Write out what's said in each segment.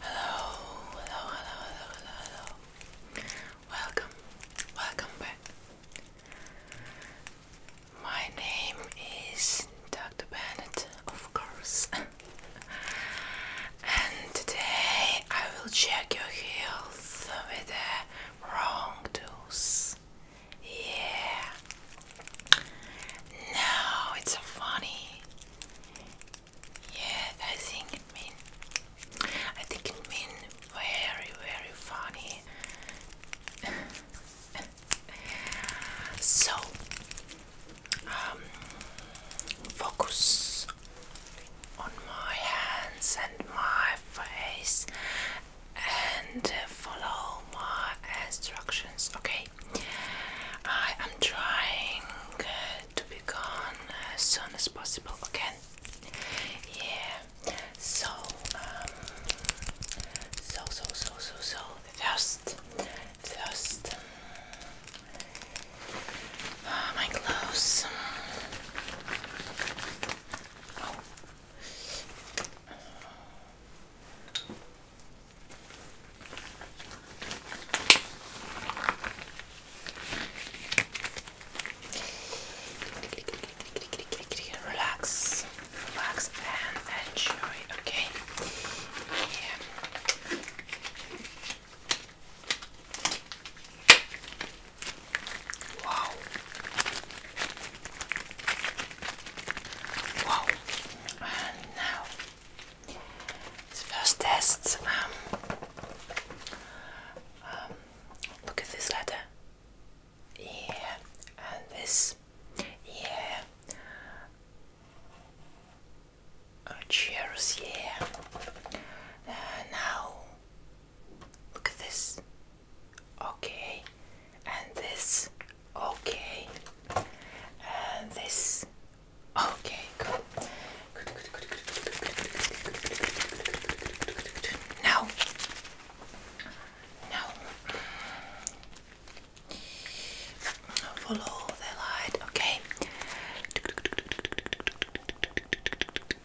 Hello, hello, hello, hello, hello, Welcome, welcome back. My name is Dr. Bennett, of course. and today I will check your health with a wrong dose. Yeah. No, it's so funny. Yeah, I think I think it mean very very funny. so um, focus on my hands and my face and uh, follow my instructions, okay? I am trying uh, to be gone as soon as possible, okay? Yeah, so, um, so, so, so, so, so, first, first, um, uh, my clothes. Oh, Relax, relax and enjoy, okay? Yeah. Wow. Wow. And now the first test. Um, um look at this letter. Yeah, and this. Yeah. Oh, cheers, yeah. now Look at this. Okay. And this. Okay. And this. Okay, good. Good, good, good, good, good, good, good, good, good, good. Now. Now. Follow the light, okay.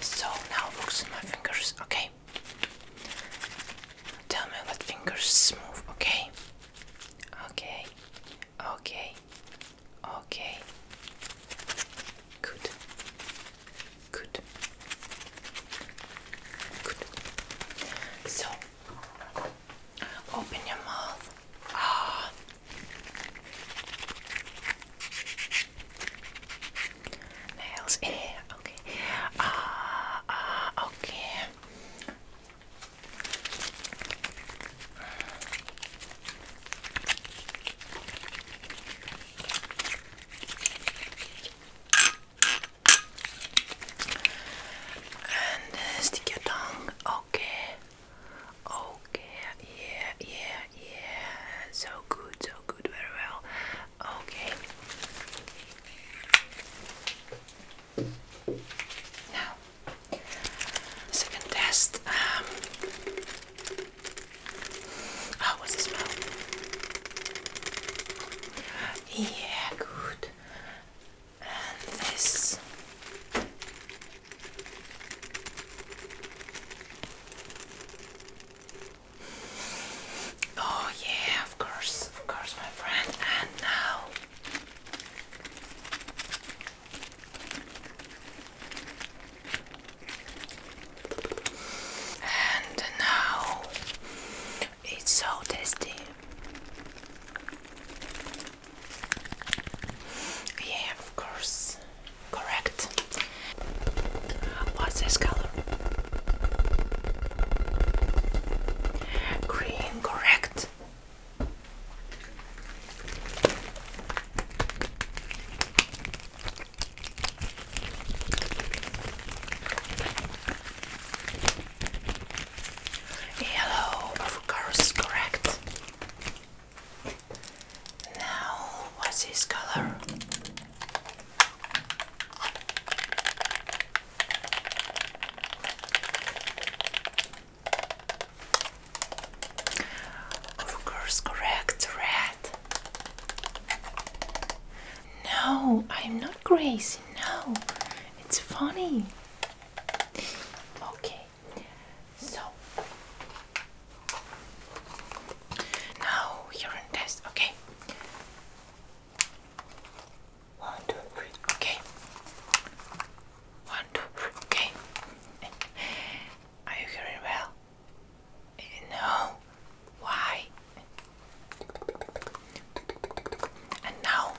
So now focus on my fingers, okay? Tell me what fingers move, okay? Okay, okay, okay. Good, good, good. So, open your mouth. Ah, Nails, eh, okay. Ah, ah, okay. And uh, stick your tongue, okay. Okay, yeah, yeah, yeah. So good, so good, very well. Okay. Now, second test. Um, oh, the smell? Yeah, good. And this. Oh, yeah, of course, of course, my friend. And now and now it's so tasty. Yeah, of course. Correct. What's this color? Green, correct. Yellow, of course, correct. Now, what's his color? Of course, correct, red. No, I'm not crazy, no. It's funny. Okay so now urine test, okay? One, two, three, okay. One, two, three, okay. Are you hearing well? No. Why? And now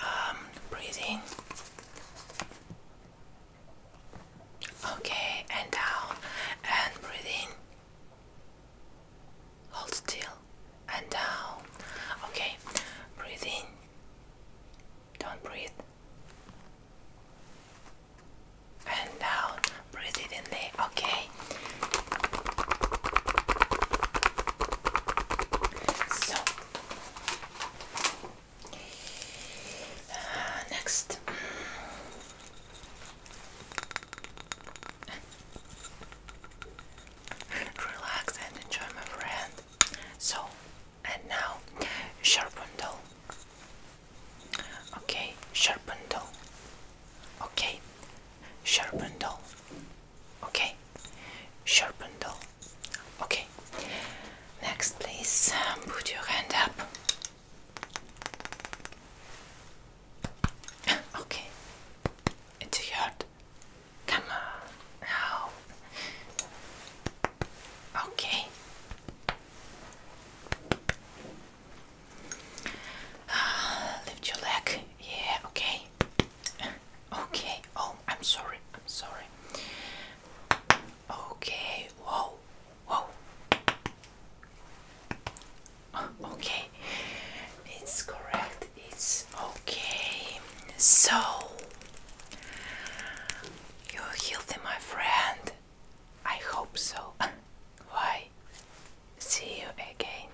um, in. Okay, and out. and breathe in. Hold still, and out. Okay, breathing. Don't breathe. And down, breathe it in there. Okay. So uh, next. Relax and enjoy, my friend. So, and now, sharpen Okay, sharpened. doll. Okay, sharpened. doll. Okay, sharpened. doll. Okay. Next, please um, put your hand up. Okay. It hurt. Come on now. Okay. Ah, lift your leg. Yeah. Okay okay oh i'm sorry i'm sorry okay whoa whoa okay it's correct it's okay so you're healthy my friend i hope so why see you again